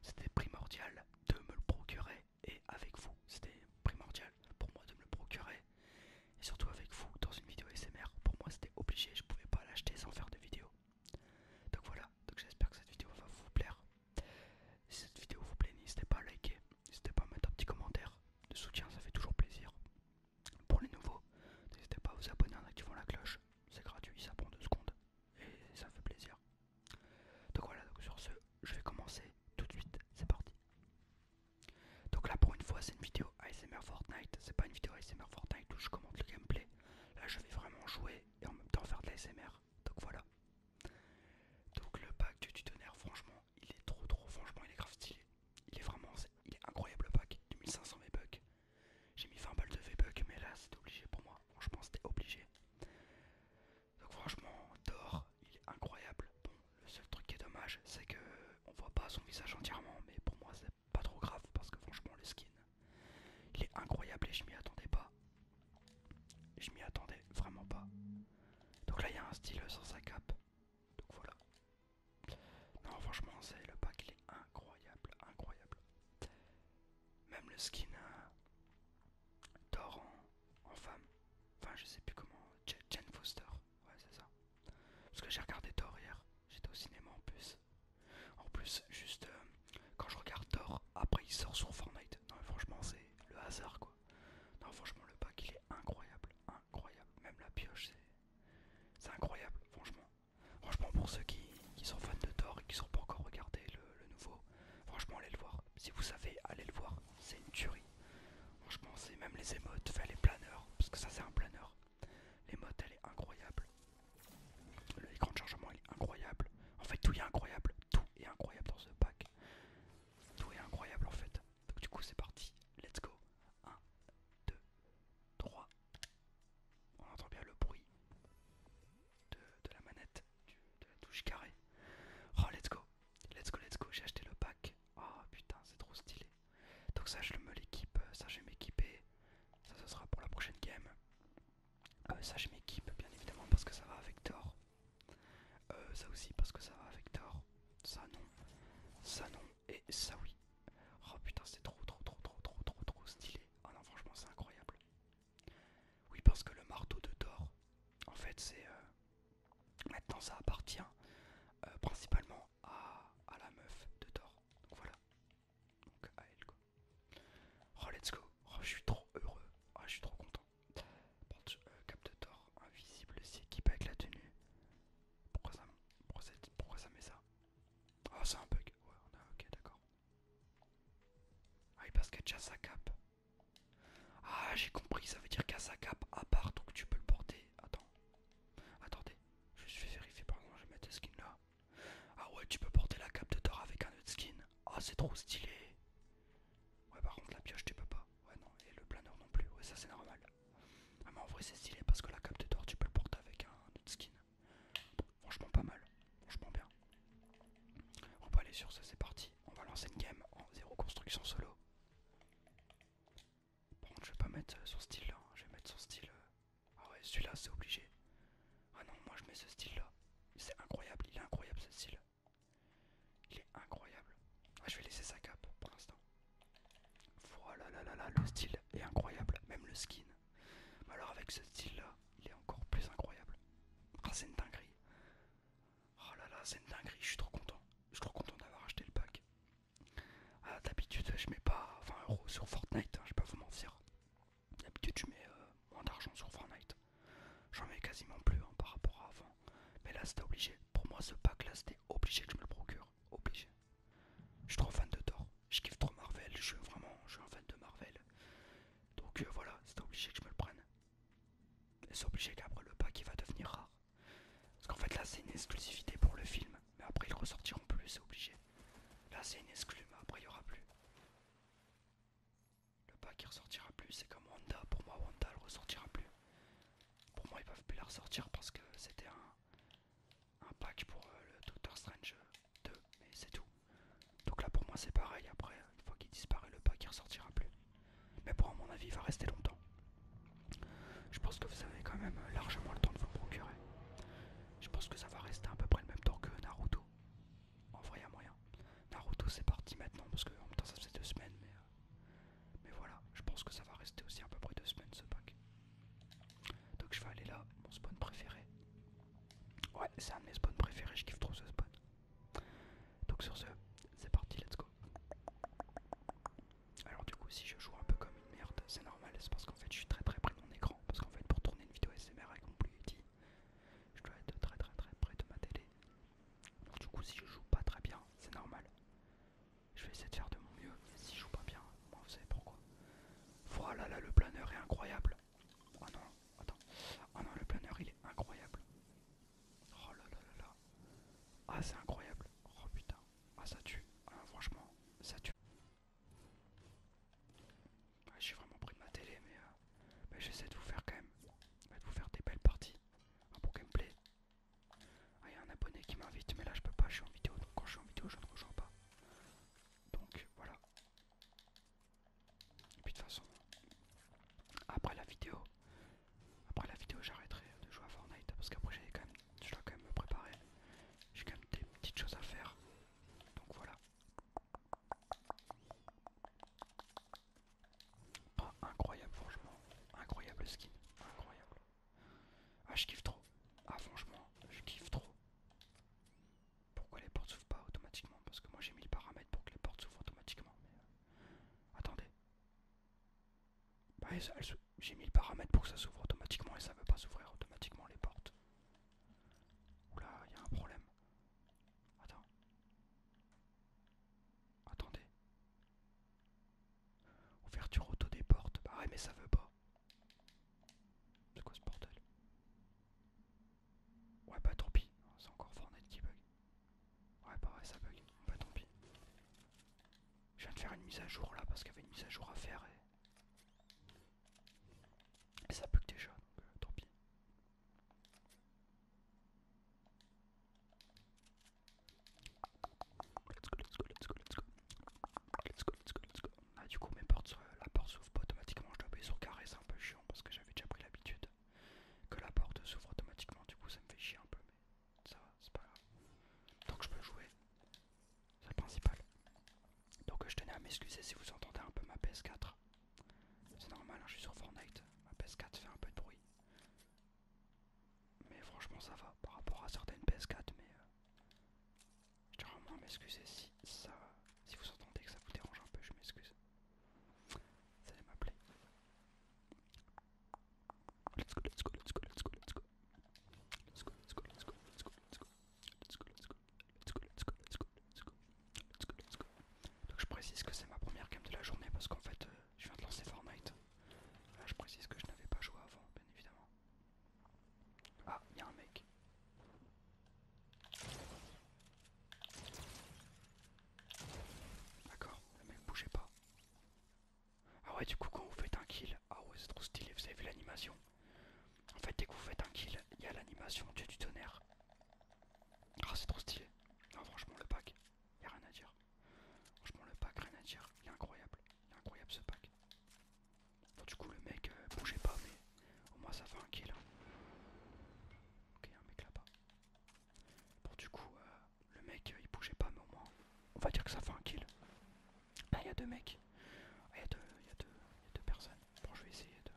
c'était primordial de me le procurer et avec vous. C'était primordial pour moi de me le procurer et surtout avec vous dans une vidéo SMR. Pour moi, c'était obligé, je pouvais pas l'acheter sans faire de vidéo. Donc voilà, donc j'espère que cette vidéo va vous plaire. Si cette vidéo vous plaît, n'hésitez pas à liker, n'hésitez pas à mettre un petit commentaire de soutien, ça fait toujours plaisir. Pour les nouveaux, n'hésitez pas à vous abonner en activant la cloche, c'est gratuit, ça prend deux secondes et ça fait plaisir. Donc voilà, donc sur ce, je vais commencer tout de suite, c'est parti. Donc là pour une fois c'est une vidéo ASMR Fortnite, c'est pas une vidéo ASMR Fortnite où je commente le gameplay. Là je vais vraiment jouer et en même temps faire de l'ASMR. Donc voilà. Donc le pack du tutonnaire franchement il est trop trop franchement il est grave stylé. Il est vraiment il est incroyable le pack, 2500 V-Bucks. J'ai mis 20 balles de V-Buck, mais là c'était obligé pour moi. Franchement, c'était obligé. Donc, franchement, Thor, il est incroyable. Bon, le seul truc qui est dommage, c'est que on voit pas son visage entièrement, mais pour moi, c'est pas trop grave parce que franchement, le skin il est incroyable et je m'y attendais pas. Je m'y attendais vraiment pas. Donc là, il y a un style sur sa cape. Donc voilà. Non, franchement, c'est le pack, il est incroyable, incroyable. Même le skin d'or en, femme. Enfin, je sais plus comment. Jane Foster. Ouais, c'est ça. Parce que j'ai regardé Thor hier. J'étais au cinéma en plus. En plus, juste euh, quand je regarde Thor, après il sort sur Fortnite. Non, mais franchement, c'est le hasard quoi. Non, franchement, le pack il est incroyable. Incroyable. Même la pioche, c'est incroyable. Franchement, Franchement, pour ceux qui, sont fans de Thor et qui sont pas encore regardé le, nouveau, franchement, allez le voir. Si vous savez, allez le voir. C'est une tuerie. Franchement, c'est même les émotes, faites les planeurs, parce que ça, c'est un planeur. L'émote, elle est incroyable. L'écran de chargement, est incroyable. En fait, tout est incroyable. Tout est incroyable dans ce pack. Tout est incroyable en fait. Donc, du coup, c'est parti. Let's go. 1, 2, 3. On entend bien le bruit de, la manette, de la touche carrée. Oh, let's go, let's go, let's go. J'ai acheté le pack. Oh putain, c'est trop stylé. Donc, ça, je le me l'équipe. Euh, ça, je vais m'équiper. Ça, ce sera pour la prochaine game. Euh, ça, je m'équipe, bien évidemment, parce que ça va avec Thor. Euh, ça aussi, parce que ça va avec Thor. Ça, non. Ça, non. Et ça, oui. Oh putain, c'est trop, trop, trop, trop, trop, trop, trop stylé. Ah non, franchement, c'est incroyable. Oui, parce que le marteau de Thor, en fait, c'est. Euh, maintenant, ça appartient euh, principalement à, à la meuf de Thor. Donc voilà. Donc à elle, quoi. Oh, let's go. Oh, je suis trop heureux. Oh, je suis trop content. Euh, cap de Thor, invisible, s'équipe avec la tenue. Pourquoi ça, met ça Oh, c'est un bug. Ouais, ok, d'accord. Ah parce que sa cape. Ah j'ai compris, ça veut dire qu'à sa cape à part donc tu peux le porter. Attends. Attendez, je vais vérifier par contre, je vais mettre le skin là. Ah ouais tu peux porter la cape de Thor avec un autre skin. Ah c'est trop stylé. Ouais par contre la pioche tu peux pas. Ouais non et le planeur non plus. Ouais ça c'est normal. Ah mais en vrai c'est stylé parce que la cape de Thor tu peux le porter avec un autre skin. Franchement pas mal, franchement bien. On va aller sur ça, c'est parti. On va lancer une game en zéro construction solo. Bon je vais pas mettre euh, son style là, hein. je vais mettre son style... Euh, ah ouais celui-là c'est obligé. Ah non moi je mets ce style là. C'est incroyable, il est incroyable ce style. Il est incroyable. Ah je vais laisser sa cape pour l'instant. Voilà là là là le style est incroyable, même le skin. Mais alors avec ce style-là, il est encore plus incroyable. Ah c'est une dinguerie. Oh là là, c'est une dinguerie, je suis trop content. Je suis trop content d'avoir acheté le pack. Ah, d'habitude, je mets pas 20 euros sur Fortnite, hein, je vais pas vous mentir. D'habitude, je mets euh, moins d'argent sur Fortnite. J'en mets quasiment plus hein, par rapport à avant. Mais là, c'était obligé. Pour moi, ce pack-là, c'était obligé que je me le procure. Obligé. Je suis trop fan de Thor je kiffe trop Marvel, je suis vraiment je suis fan de Marvel. Donc euh, voilà, c'est obligé que je me le prenne. C'est obligé qu'après le pack il va devenir rare. Parce qu'en fait là c'est une exclusivité pour le film, mais après ils ressortiront plus, c'est obligé. Là c'est une exclu, mais après il n'y aura plus. Le pack il ressortira plus, c'est comme Wanda, pour moi Wanda elle ressortira plus. Pour moi ils peuvent plus la ressortir parce que c'était un un pack pour euh, le Doctor Strange 2, mais c'est tout. Donc là pour moi c'est pareil, après une fois qu'il disparaît le pack il ressortira plus. Mais pour à mon avis il va rester longtemps. Je pense que vous avez quand même euh, largement le temps de vous procurer. Je pense que ça va rester à peu près le même temps que Naruto. En vrai à moyen. Naruto c'est parti maintenant parce que en même temps ça fait deux semaines mais... Euh, mais voilà, je pense que ça va rester aussi à peu près deux semaines ce pack. Donc je vais aller là, mon spawn préféré. Ouais, c'est un de mes spawns préférés, je kiffe trop ce spawn. Donc sur ce, c'est parti, let's go. Alors du coup, si je joue un peu comme une merde, c'est normal, c'est parce qu'en fait je suis très très près de mon écran. Parce qu'en fait, pour tourner une vidéo SMR avec mon Bluetooth, je dois être très très très près de ma télé. Donc du coup, si je joue pas très bien, c'est normal. Je vais essayer de faire de mon mieux. Si je joue pas bien, moi vous savez pourquoi. Voilà, là le planeur est incroyable. Oh non, attends. Oh non, le planeur il est incroyable. Oh là là là là. Ah, c'est incroyable. Oh putain. Ah, ça tue. Ah, franchement, ça tue. J'ai vraiment pris de ma télé, euh, mais, j'essaie de vous faire quand même. De vous faire des belles parties. Un hein, bon gameplay. Ah, il y a un abonné qui m'invite, mais là je peux pas, je suis en vidéo. Donc quand je suis en vidéo, je ne rejoins pas. Donc voilà, et puis de toute façon, après la vidéo, après la vidéo j'arrêterai de jouer à Fortnite parce qu'après je dois quand même me préparer. J'ai quand même des petites choses à faire. Donc voilà. incroyable franchement, incroyable skin, incroyable. Ah je kiffe trop. Ah franchement, je kiffe trop. Pourquoi les portes s'ouvrent pas automatiquement Parce que moi j'ai mis le paramètre pour que les portes s'ouvrent automatiquement. Euh, attendez. Bah, j'ai mis le paramètre pour que ça s'ouvre automatiquement et ça veut pas s'ouvrir automatiquement les portes. Oula, il y a un problème. Attends. Attendez. Ouverture auto des portes. Bah ouais mais ça veut pas. C'est quoi ce portail? Ouais bah tant pis, c'est encore Fortnite qui bug. Ouais bah ouais ça bug, bah tant pis. Je viens de faire une mise à jour là parce qu'il y avait une mise à jour à faire et, et ça bug déjà donc euh, tant pis. Let's go, let's go, let's go, let's go. Let's go, let's go, let's go. Ah, du coup, mes portes, la porte s'ouvre pas automatiquement. Je dois appuyer sur carré, c'est un peu chiant parce que j'avais déjà pris l'habitude que la porte s'ouvre automatiquement. Du coup, ça me fait chier un peu, mais ça va, c'est pas grave. donc je peux jouer, c'est le principal. Donc, je tenais à m'excuser si vous entendez un peu ma PS4. C'est normal, hein, je suis sur Fortnite. Ma PS4 fait un peu de bruit. Mais franchement, ça va par rapport à certaines PS4, mais euh, je tiens vraiment à m'excuser si ça. vous entendez que ça vous dérange un peu, je m'excuse. Vous allez m'appeler. Let's go, let's go, let's go, let's go, let's go. Let's go, let's go, let's go, let's go, let's go. Let's go, let's go, let's go, let's go, let's go, let's go. Let's go, Donc je précise que c'est ma première game de la journée parce qu'en fait je viens de lancer Fortnite. je précise que je n'avais pas joué avant, bien évidemment. Ah, il y a un mec. D'accord, le mec bougeait pas. Ah ouais, du coup, quand vous faites un kill, ah ouais, c'est trop stylé, vous avez vu l'animation En fait, dès que vous faites un kill, il y a l'animation Dieu du tonnerre. Ah, c'est trop stylé. Non, franchement, le pack, il a rien à dire. Franchement, le pack, rien à dire. Il est incroyable. Il est incroyable ce pack du coup, le mec euh, bougeait pas, mais au moins ça fait un kill. Ok, un mec là-bas. Bon, du coup, euh, le mec euh, il bougeait pas, mais au moins on va dire que ça fait un kill. Ah, il y a deux mecs. Ah, il y, y, a deux personnes. Bon, je vais essayer de.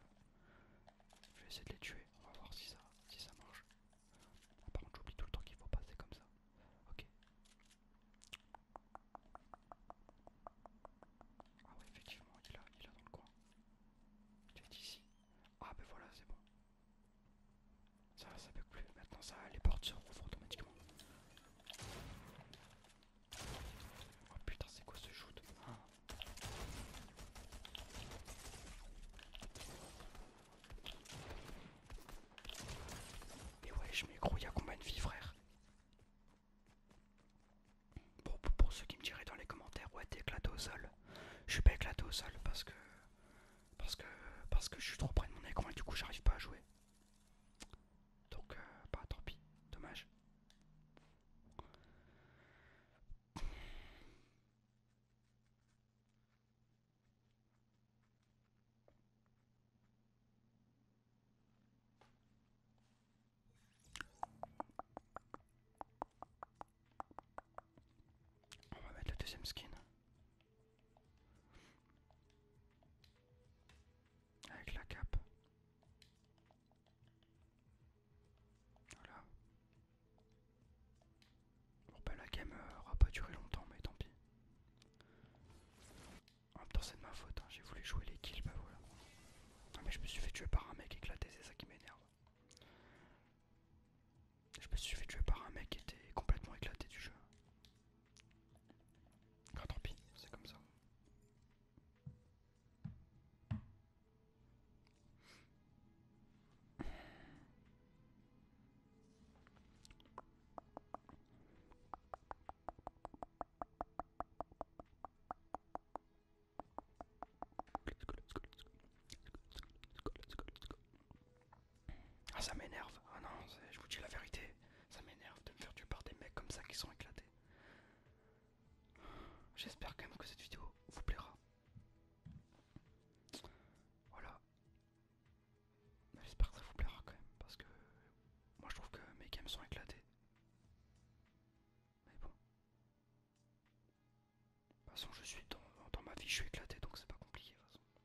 vais essayer de les tuer, on va voir si ça, si ça marche. Ah, par contre j'oublie tout le temps qu'il faut passer comme ça. Ok. Ah ouais effectivement il est là, il est là dans le coin. Il est ici. Ah ben voilà c'est bon. Ça ça peut plus. Maintenant ça les portes se rouvrent automatiquement. Oh putain c'est quoi ce shoot ah. Et ouais je m'écrouille gros, il y a combien de vies frère pour, ceux qui me diraient dans les commentaires, ouais, t'es éclaté au sol. Je suis pas éclaté au sol parce que. Parce que. je suis trop près de mon écran et du coup j'arrive pas à jouer. Donc, pas euh, bah tant pis, dommage. On va mettre le deuxième skin. Avec la cape. Voilà. Bon ben la game euh, aura pas duré longtemps mais tant pis. En même c'est de ma faute, hein. j'ai voulu jouer les kills, bah voilà. Non, mais je me suis fait tuer par un mec éclaté, c'est ça qui m'énerve. Je me suis fait tuer par un mec qui était complètement éclaté du jeu. Quand ah, tant pis, c'est comme ça. Ah ça m'énerve, ah non, je vous dis la vérité, ça m'énerve de me faire tuer par des mecs comme ça qui sont éclatés. J'espère quand même que cette vidéo vous plaira. Voilà. J'espère que ça vous plaira quand même, parce que moi je trouve que mes games sont éclatés. Mais bon. De toute façon, je suis dans, dans ma vie, je suis éclaté, donc c'est pas compliqué. De toute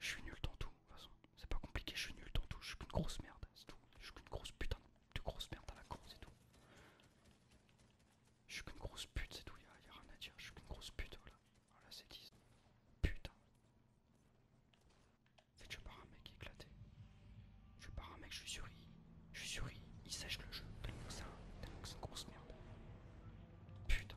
Je suis nul dans tout, de toute façon. C'est pas compliqué, je suis nul dans tout. Je suis qu'une grosse merde, c'est tout. Je suis qu'une grosse putain de grosse merde à la con, c'est tout. Je suis qu'une grosse pute, c'est tout, y'a rien à dire. Je suis qu'une grosse pute, voilà. Voilà, c'est 10. Putain fait je pars un mec éclaté. Je pars un mec, je suis surri. je suis surri. il, sèche le jeu. Tellement que c'est une grosse merde. Putain.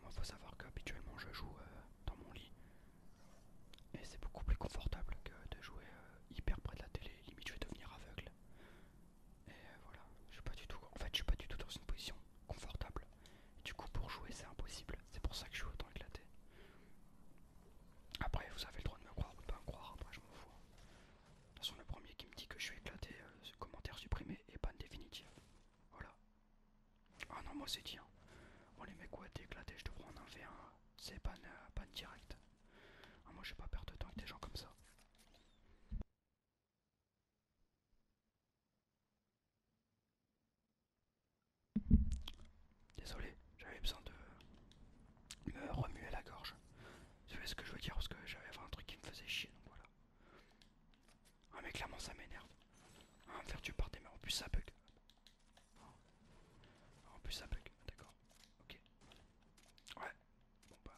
Moi, faut savoir qu'habituellement je joue euh, dans mon lit et c'est beaucoup plus confortable que de jouer euh, hyper près de la télé. Limite, je vais devenir aveugle. Et euh, voilà, je suis pas du tout. En fait, je suis pas du tout dans une position confortable. du coup, pour jouer, c'est impossible. C'est pour ça que je suis autant éclaté. Après, vous avez le droit de me croire ou de pas me croire. Après, je m'en fous. Hein. De toute façon, le premier qui me dit que je suis éclaté, euh, ce commentaire supprimé et ban définitive. Voilà. Ah non, moi c'est tiens. Hein. les mecs, ouais, t'es éclaté, je en enlever un hein. C'est ban, direct. Ah, moi, je vais pas perdre de temps avec des gens comme ça. Désolé, j'avais besoin de me remuer la gorge. Tu vois ce que je veux dire parce que j'avais un truc qui me faisait chier donc voilà. Ah mais clairement ça m'énerve. Ah, faire du par des mains, en plus ça bug. En plus ça bug, d'accord. Ok. Ouais. Bon bah.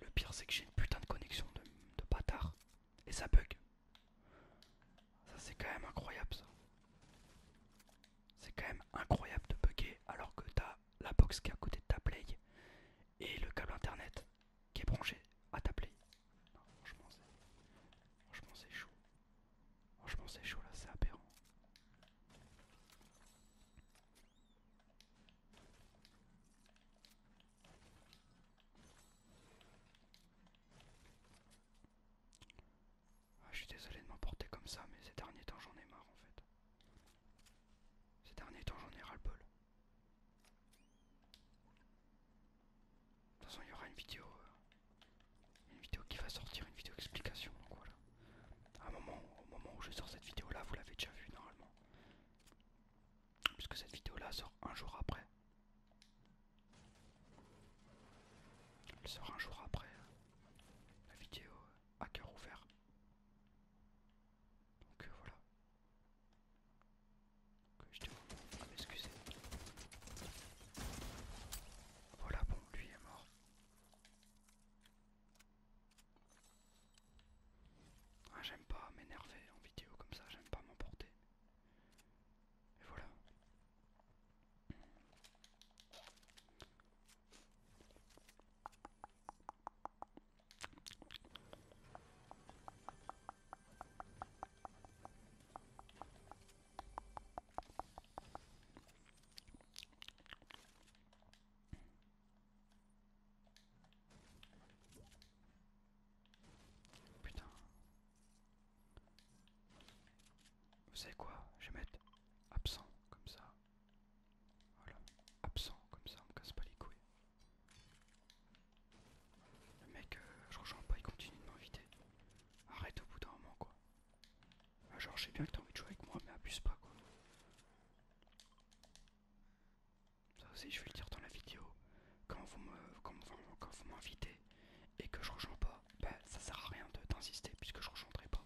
Le pire c'est que j'ai une putain de connexion de, bâtard. Et ça bug. Ça c'est quand même incroyable ça. C'est quand même incroyable de bugger alors que t'as la box qui est à côté de ta play et le câble internet qui est branché à ta play. Non, franchement c'est chaud. Franchement c'est chaud là, c'est aberrant. Ah, je suis désolé de m'emporter comme ça, mais ces derniers temps j'en ai marre en fait. Ces derniers temps, j'en ai ras le bol. De toute façon, il y aura une vidéo, euh, une vidéo qui va sortir, une vidéo d'explication. voilà. À un moment, au moment où je sors cette vidéo là, vous l'avez déjà vue normalement. Puisque cette vidéo là sort un jour après. Elle sort un jour après euh, la vidéo à euh, cœur ouvert. Donc euh, voilà. Euh, je te... excusez. Voilà, bon, lui est mort. Ah, j'aime pas m'énerver en vidéo comme ça, j'aime pas m'emporter. Et voilà. Putain. Vous savez quoi Je vais mettre absent comme ça. Voilà, absent, comme ça on casse pas les couilles. Le mec, euh, je rejoins pas, il continue de m'inviter. Arrête au bout d'un moment quoi. Ah, genre, je bien que t'as envie de jouer avec moi, mais abuse pas quoi. Ça aussi, je vais le dire dans la vidéo. Quand vous m'invitez et que je rejoins pas, bah ça sert à rien d'insister puisque je rejoindrai pas.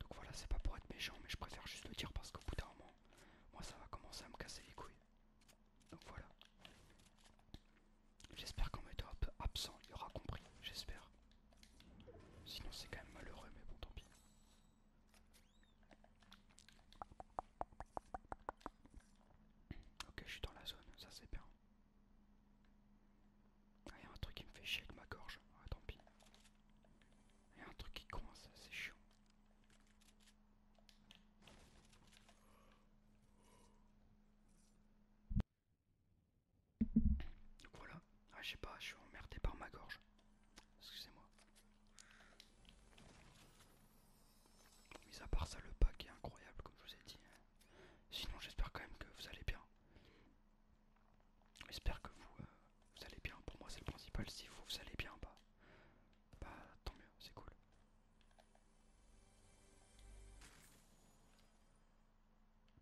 Donc voilà, c'est pas pour être méchant, mais je préfère juste le dire parce qu'au bout d'un moment, moi ça va commencer à me casser les couilles. Donc voilà. J'espère qu'en m'étant absent, il aura compris, j'espère. Sinon c'est quand même malheureux, mais bon tant pis. Ok, je suis dans la zone, ça c'est bien. Ah, y a un truc qui me fait chier de ma gorge. Ah, tant pis. Il y a un truc qui coince, c'est chiant. Donc voilà, ah, je sais pas, je suis emmerdé par ma gorge. Excusez-moi. Mis à part ça, le pack est incroyable, comme je vous ai dit. Sinon, j'espère quand même que vous allez bien. J'espère que vous, euh, vous allez bien. Pour moi, c'est le principal. Si vous, vous allez bien, pas bah, pas bah, tant mieux, c'est cool.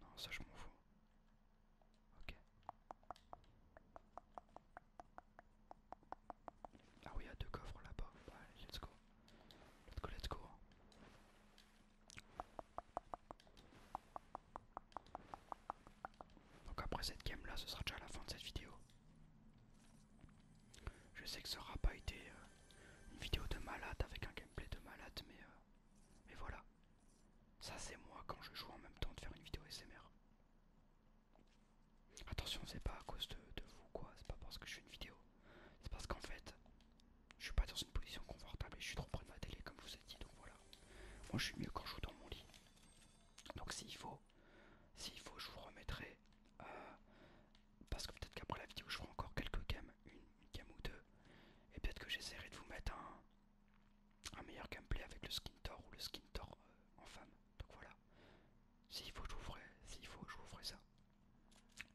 Non, ça, je m'en fous. Ok. Ah oui, il y a deux coffres là-bas. Bah, allez, let's go. Let's go, let's go. Donc après cette game là, ce sera déjà la fin de cette vidéo. Je sais que ça aura pas été euh, une vidéo de malade avec un gameplay de malade, mais, euh, mais voilà. Ça c'est moi quand je joue en même temps de faire une vidéo SMR. Attention, c'est pas à cause de, vous quoi, c'est pas parce que je fais une vidéo. C'est parce qu'en fait, je suis pas dans une position confortable et je suis trop près de ma télé comme vous avez dit, donc voilà. Moi je suis mieux quand je joue dans mon lit. Donc s'il faut, s'il faut, je vous remettrai. Euh, parce que peut-être qu'après la vidéo, je ferai encore quelques games, une, game ou deux. Et peut-être que j'essaierai de vous mettre un, un meilleur gameplay avec le skin tor ou le skin tor euh, en femme. Donc voilà. S'il faut, je vous ferai. S'il faut, ça.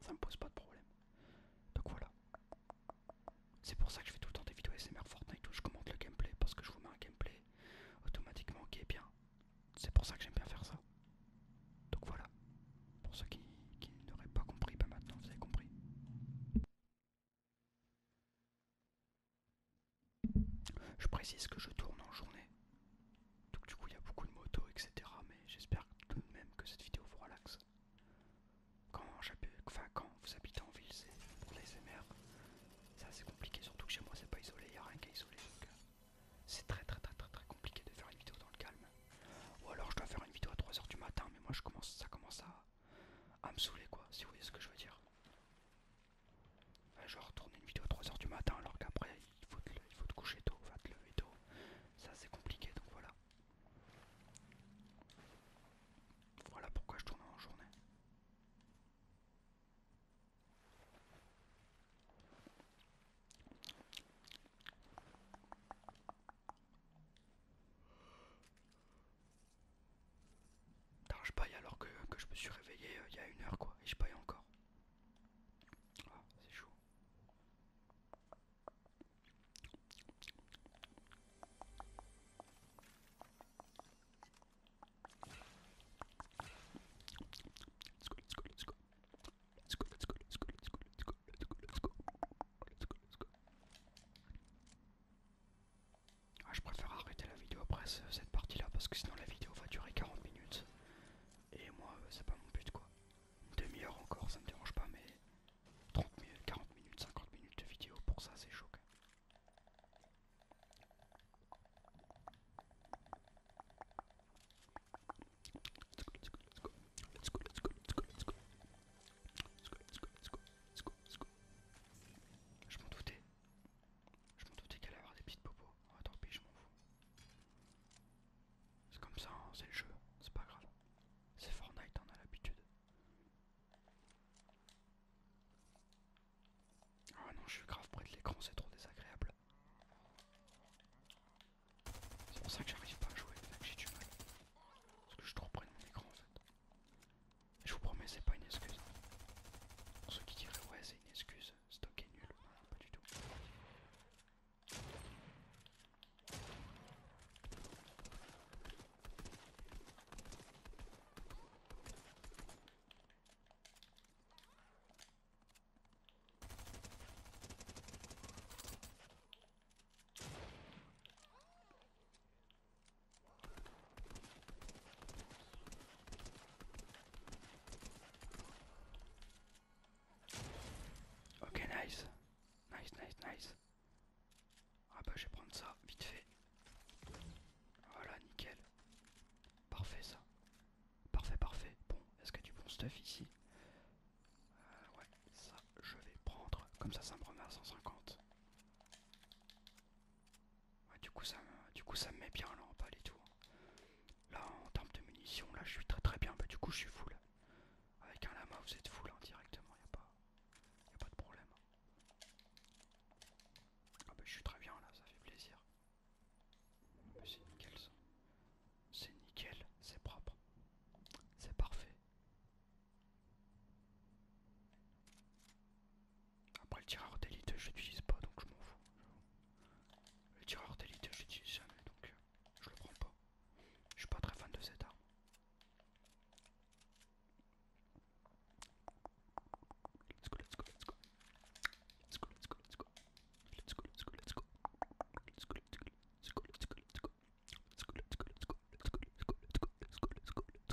Ça me pose pas de problème. Donc voilà. C'est pour ça que je fais tout le temps des vidéos SMR Fortnite où je commente le gameplay parce que je vous mets un gameplay automatiquement qui est bien. C'est pour ça que j'aime bien faire ça. Donc voilà. Pour ceux qui, n'auraient pas compris, bah maintenant vous avez compris. Je précise que je tourne en journée. Donc du coup il y a beaucoup de motos, etc. Mais j'espère tout de même que cette vidéo vous relaxe. Quand, enfin, quand vous habitez en ville, c'est pour les SMR. C'est assez compliqué, surtout que chez moi c'est pas isolé, y a rien qui isolé, donc euh, c'est très très très très très compliqué de faire une vidéo dans le calme. Ou alors je dois faire une vidéo à 3h du matin, mais moi je commence, ça commence à, à me saouler quoi, si vous voyez ce que je veux dire. Genre je retourner une vidéo à 3h du matin alors qu'après il faut, te, coucher tôt, va te lever tôt. C'est compliqué donc voilà. Voilà pourquoi je tourne en journée je paye alors que, je me suis réveillé euh, il y a une heure quoi et je paye encore. Ah, c'est chaud. Let's go, let's go, let's go. je préfère arrêter la vidéo après cette partie-là parce que sinon la vidéo va durer 40 minutes. Et moi, euh, c'est pas mon but quoi. Une demi-heure encore, ça me dérange pas, mais 30 minutes, 40 minutes, 50 minutes de vidéo, pour ça c'est choquant. Je m'en doutais. Je m'en doutais qu'elle allait avoir des petites popos. Oh, tant pis, je m'en fous. C'est comme ça, hein, c'est le jeu, c'est pas grave. C'est Fortnite, on a l'habitude. Ah non, je suis grave près de l'écran, c'est trop désagréable. C'est pour ça que j'arrive pas à jouer, que j'ai du mal. Parce que je suis trop près de mon écran en fait. je vous promets, c'est pas une excuse. Pour ceux qui diraient ouais, c'est une excuse, Stocké nul, pas du tout. Okay, nice. Nice, nice, nice. Ah bah je vais prendre ça, vite fait. Voilà, nickel. Parfait ça. Parfait, parfait. Bon, est-ce qu'il y a du bon stuff ici euh, Ouais, ça je vais prendre. Comme ça, ça me remet à 150. Ouais, du coup ça me, met bien là en palais, les Là en termes de munitions, là je suis très très bien. Bah, du coup je suis full. Avec un lama vous êtes full hein, directement, il n'y a pas de problème. Ah bah je suis très bien là, ça fait plaisir. C'est nickel ça. C'est nickel, c'est propre. C'est parfait. Après le tireur d'élite je l'utilise pas donc je m'en fous. Le tireur d'élite je l'utilise jamais donc euh, je le prends pas. Je suis pas très fan de cette arme. Let's go, let's go, let's go. Let's go, let's go, let's go. Let's go, let's go, let's go. Let's go, let's go, let's go. Let's go, let's go, let's go. Let's go, let's go, let's go. Let's go, let's go, let's go.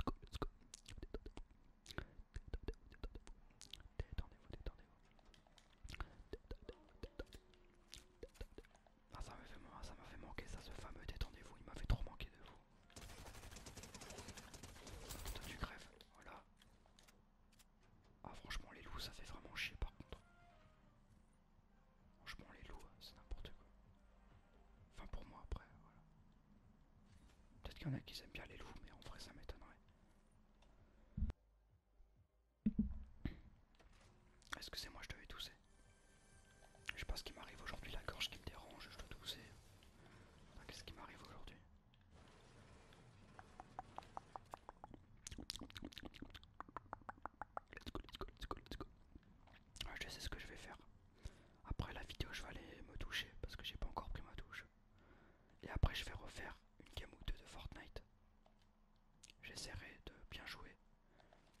vous ça fait, manquer ça ce vous m'a fait trop manquer de vous voilà. Ah franchement les loups ça fait vraiment chier par contre. Franchement les loups c'est n'importe quoi. Enfin pour moi après, voilà. Peut-être qu'il y en a qui aiment bien les loups mais en vrai ça m'étonnerait. Est-ce que c'est moi je devais tousser. Je sais pas ce qui m'arrive aujourd'hui, la gorge qui me dérange, je dois tousser. Ah, qu'est-ce qui m'arrive aujourd'hui Let's go, let's go, let's go, let's go. Ah, je sais ce que je vais faire. Après la vidéo, je vais aller me toucher parce que j'ai pas encore pris ma douche. Et après, je vais refaire une game ou deux de Fortnite. J'essaierai de bien jouer,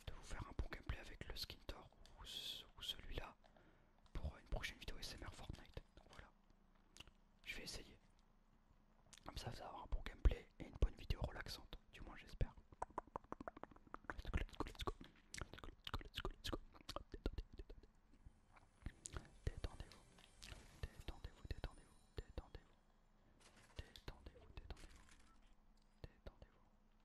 de vous faire un bon gameplay avec le Skintor ou celui-là pour une prochaine vidéo SMR Fortnite. Donc voilà, je vais essayer. Comme ça, ça va avoir un bon gameplay et une bonne vidéo relaxante, du moins j'espère. Let's go, let's go, let's go. Let's go, let's go, let's go. Détendez-vous, détendez-vous, détendez-vous, détendez-vous, détendez-vous, détendez-vous, détendez-vous, détendez-vous,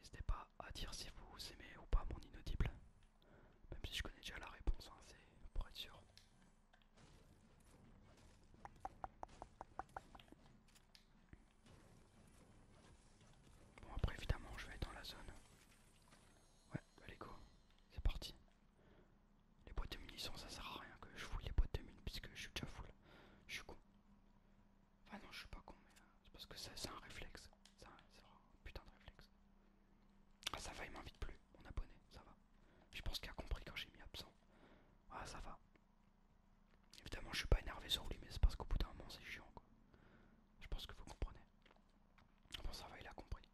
N'hésitez pas à dire si vous aimez ou pas mon inaudible, même si je connais déjà la réponse, hein, c'est pour être sûr. Bon après évidemment je vais être dans la zone. Ouais, allez bah, go, c'est parti. Les boîtes de munitions ça sert à rien que je fouille les boîtes de munitions puisque je suis déjà full. Je suis con. Enfin non je suis pas con mais euh, c'est parce que c'est un réflexe. de réflexe. Ah ça va il m'invite plus, mon abonné, ça va. Je pense qu'il a compris quand j'ai mis absent. Ah ça va. Évidemment, je suis pas énervé sur lui, mais c'est parce qu'au bout d'un moment, c'est chiant quoi. Je pense que vous comprenez. Bon, ça va, il a compris.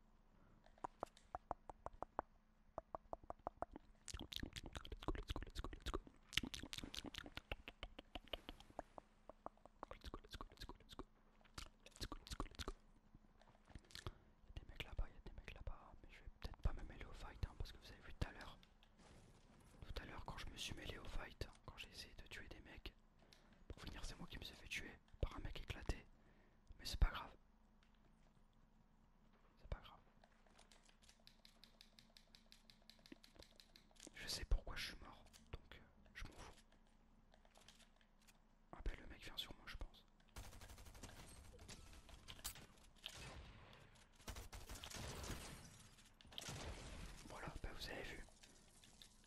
Let's go, let's go, let's go, let's go. Let's go, let's go, let's go, let's go. Let's go, let's go, des mecs là-bas, il y a des mecs là-bas, mais je vais peut-être pas me mêler au fight hein, parce que vous avez vu tout à l'heure. Tout à l'heure, quand je me suis mêlé au fight, quand j'ai essayé de tuer des mecs, pour finir, c'est moi qui me suis fait tuer par un mec éclaté. Mais c'est pas grave. C'est pas grave. Je sais pourquoi je suis mort, donc euh, je m'en fous. Ah ben, le mec vient sur moi je pense. Voilà, bah vous avez vu.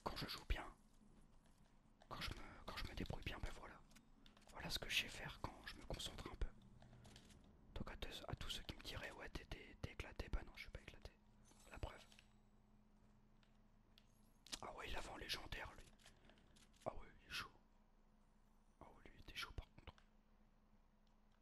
Quand je joue bien, quand je me, débrouille bien, ben voilà. Voilà ce que je sais faire quand je me concentre un peu. Donc à, tous ceux qui me diraient ouais t'es éclaté, bah non je suis pas éclaté. La preuve. Ah ouais il a légendaire lui. Ah ouais il est chaud. Ah ouais lui il était chaud par contre.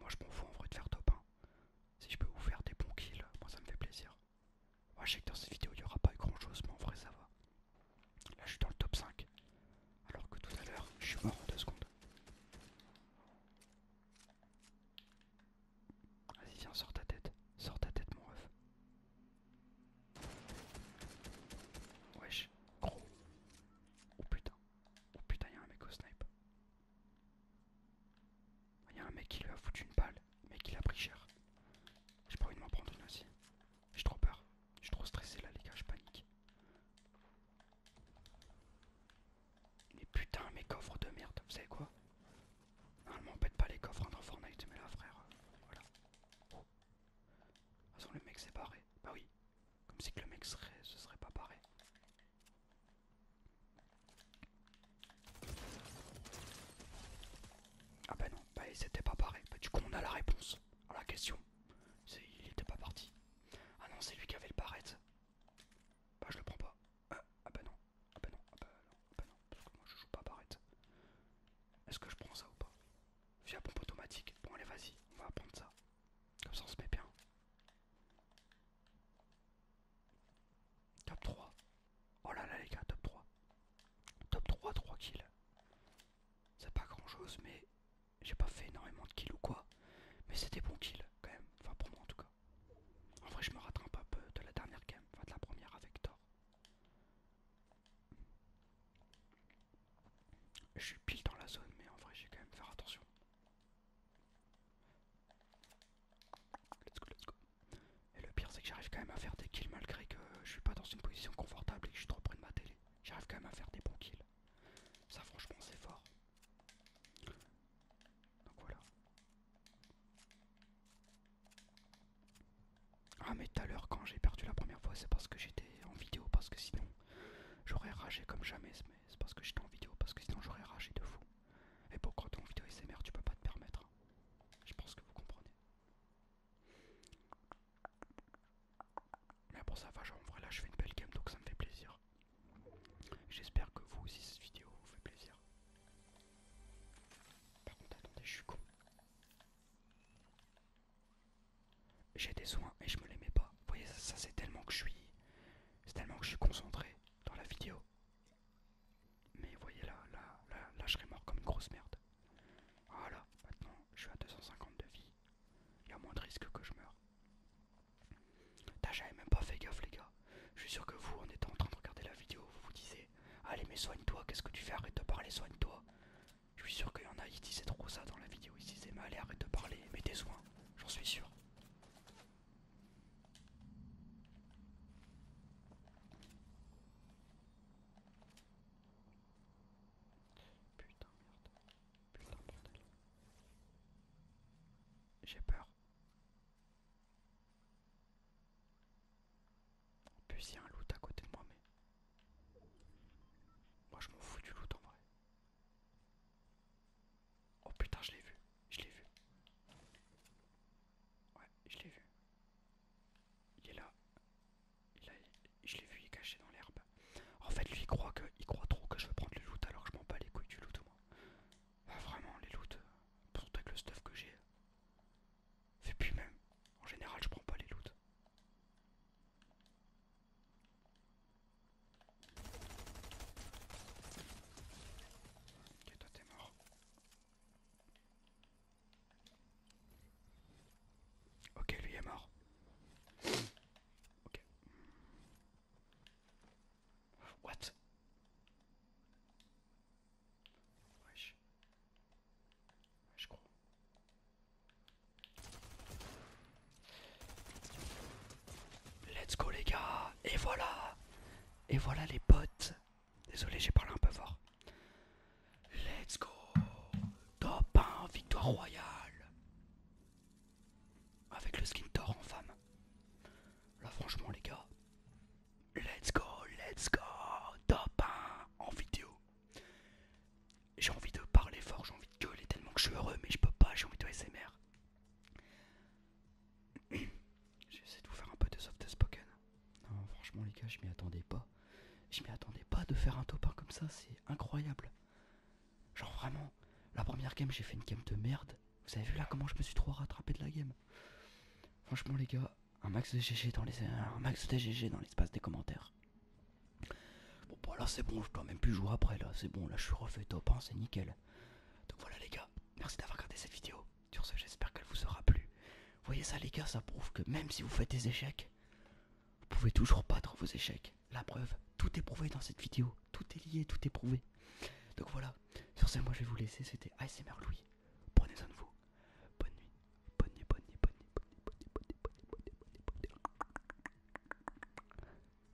Moi je m'en fous en vrai de faire top 1. Si je peux vous faire des bons kills, moi ça me fait plaisir. Moi je sais que dans cette vidéo il n'y aura pas eu grand chose, mais en vrai ça va. Là je suis dans le top 5. Alors que tout à l'heure je suis mort en 2 secondes. Vas-y viens, sors ta tête. Sors ta tête mon ref. Wesh, gros. Oh putain. Oh putain, y'a un mec au snipe. Il y a un mec qui lui a foutu une balle, mec il l'a pris cher. J'ai pas envie de m'en prendre une aussi. J'ai trop peur. Je trop stressé là les gars, je panique. Mais putain mes coffres de merde, vous savez quoi Normalement on pète pas les coffres hein, dans Fortnite, mais là frère, euh, voilà. Oh. De toute façon le mec s'est barré. Bah oui. Comme si que le mec serait, se serait pas barré. Ah bah non, bah c'était pas pareil. Bah du coup on a la réponse à la question. Il était pas parti. Ah non, c'est lui qui avait le barrette. Bah je le prends pas. Euh, ah, bah ah, bah non, ah bah non, ah bah non, parce que moi je joue pas barrette. Est-ce que je prends ça ou pas Via pompe automatique. Bon allez vas-y, on va prendre ça. Comme ça on se met bien. Top 3. Oh là là les gars, top 3. Top 3, 3 kills. C'est pas grand chose, mais j'ai pas fait énormément de kills ou quoi. Mais c'était bon kills quand même. Enfin pour moi en tout cas. En vrai je me rattrape un peu de la dernière game, enfin de la première avec Thor. Je suis pile dans la zone mais en vrai j'ai quand même faire attention. Et le pire, c'est que j'arrive quand même à faire des kills malgré que je suis pas dans une position confortable et que je suis trop près de ma télé. J'arrive quand même à faire des bons kills. Ça, franchement, c'est fort. Donc voilà. Ah, mais tout à l'heure, quand j'ai perdu la première fois, c'est parce que j'étais en vidéo, parce que sinon j'aurais ragé comme jamais c'est parce que j'étais en vidéo, parce que sinon j'aurais et de fou. Et pourquoi quand vidéo en vidéo SMR, tu peux pas te permettre. Hein. Je pense que vous comprenez. Mais bon, ça va, genre en vrai là je fais une belle game donc ça me fait plaisir. J'espère que vous aussi cette vidéo vous fait plaisir. Par contre, attendez, je suis con. J'ai des soins et je me les mets pas. Vous voyez, ça c'est tellement que je suis. C'est tellement que je suis concentré dans la vidéo. Mais voyez là, là, je serais mort comme une grosse merde. Voilà, maintenant je suis à 250 de vie. Il y a moins de risque que je meure. J'avais même pas fait gaffe les gars. Je suis sûr que vous, en étant en train de regarder la vidéo, vous vous disiez Allez mais soigne-toi, qu'est-ce que tu fais Arrête de parler, soigne-toi. Je suis sûr qu'il y en a, ils disaient trop ça dans la vidéo, ils disaient Mais allez, arrête de parler, mets tes soins. J'en suis sûr. Putain, merde. Putain, bordel. J'ai peur. En plus, il y a un loup à côté de moi, mais. Moi, je m'en fous du loup en vrai. Oh putain, je l'ai vu, je l'ai vu. Ouais, je l'ai vu. Il est là. je l'ai vu, il est caché dans l'herbe. En fait, lui, il croit, que, il croit trop que je vais prendre les loot alors que je m'en bats les couilles du loot, moi. Bah, vraiment, les loot, surtout euh, avec le stuff que j'ai. Et puis même, en général, je prends pas les loot. Ok, toi t'es mort. Ok, lui est mort. Ok. What? Ouais, je crois. Let's go les gars Et voilà Et voilà les potes Désolé j'ai parlé un peu fort Let's go Top 1 victoire royale Avec le skin tor en femme Là franchement les gars Let's go Let's go Top 1 en vidéo J'ai envie de parler fort J'ai envie de gueuler tellement que je suis heureux Mais je peux pas j'ai envie de SMR J'essaie de vous faire un peu de soft spoken. Non, franchement, les gars, je m'y attendais pas. Je m'y attendais pas de faire un top 1 comme ça, c'est incroyable. Genre, vraiment, la première game, j'ai fait une game de merde. Vous avez vu là comment je me suis trop rattrapé de la game Franchement, les gars, un max de GG dans un max dans l'espace des commentaires. Bon, bah là, c'est bon, je quand même plus jouer après. Là, c'est bon, là, je suis refait top 1, c'est nickel. Donc voilà les gars, merci d'avoir regardé cette vidéo. Sur ce, j'espère qu'elle vous aura plu. Voyez ça les gars, ça prouve que même si vous faites des échecs, vous pouvez toujours battre vos échecs. La preuve, tout est prouvé dans cette vidéo. Tout est lié, tout est prouvé. Donc voilà, sur ce, moi je vais vous laisser. C'était ASMR Louis. Prenez soin de vous. Bonne nuit. Bonne nuit, bonne nuit, bonne nuit, bonne nuit, bonne nuit, bonne nuit, bonne nuit, bonne nuit, bonne nuit.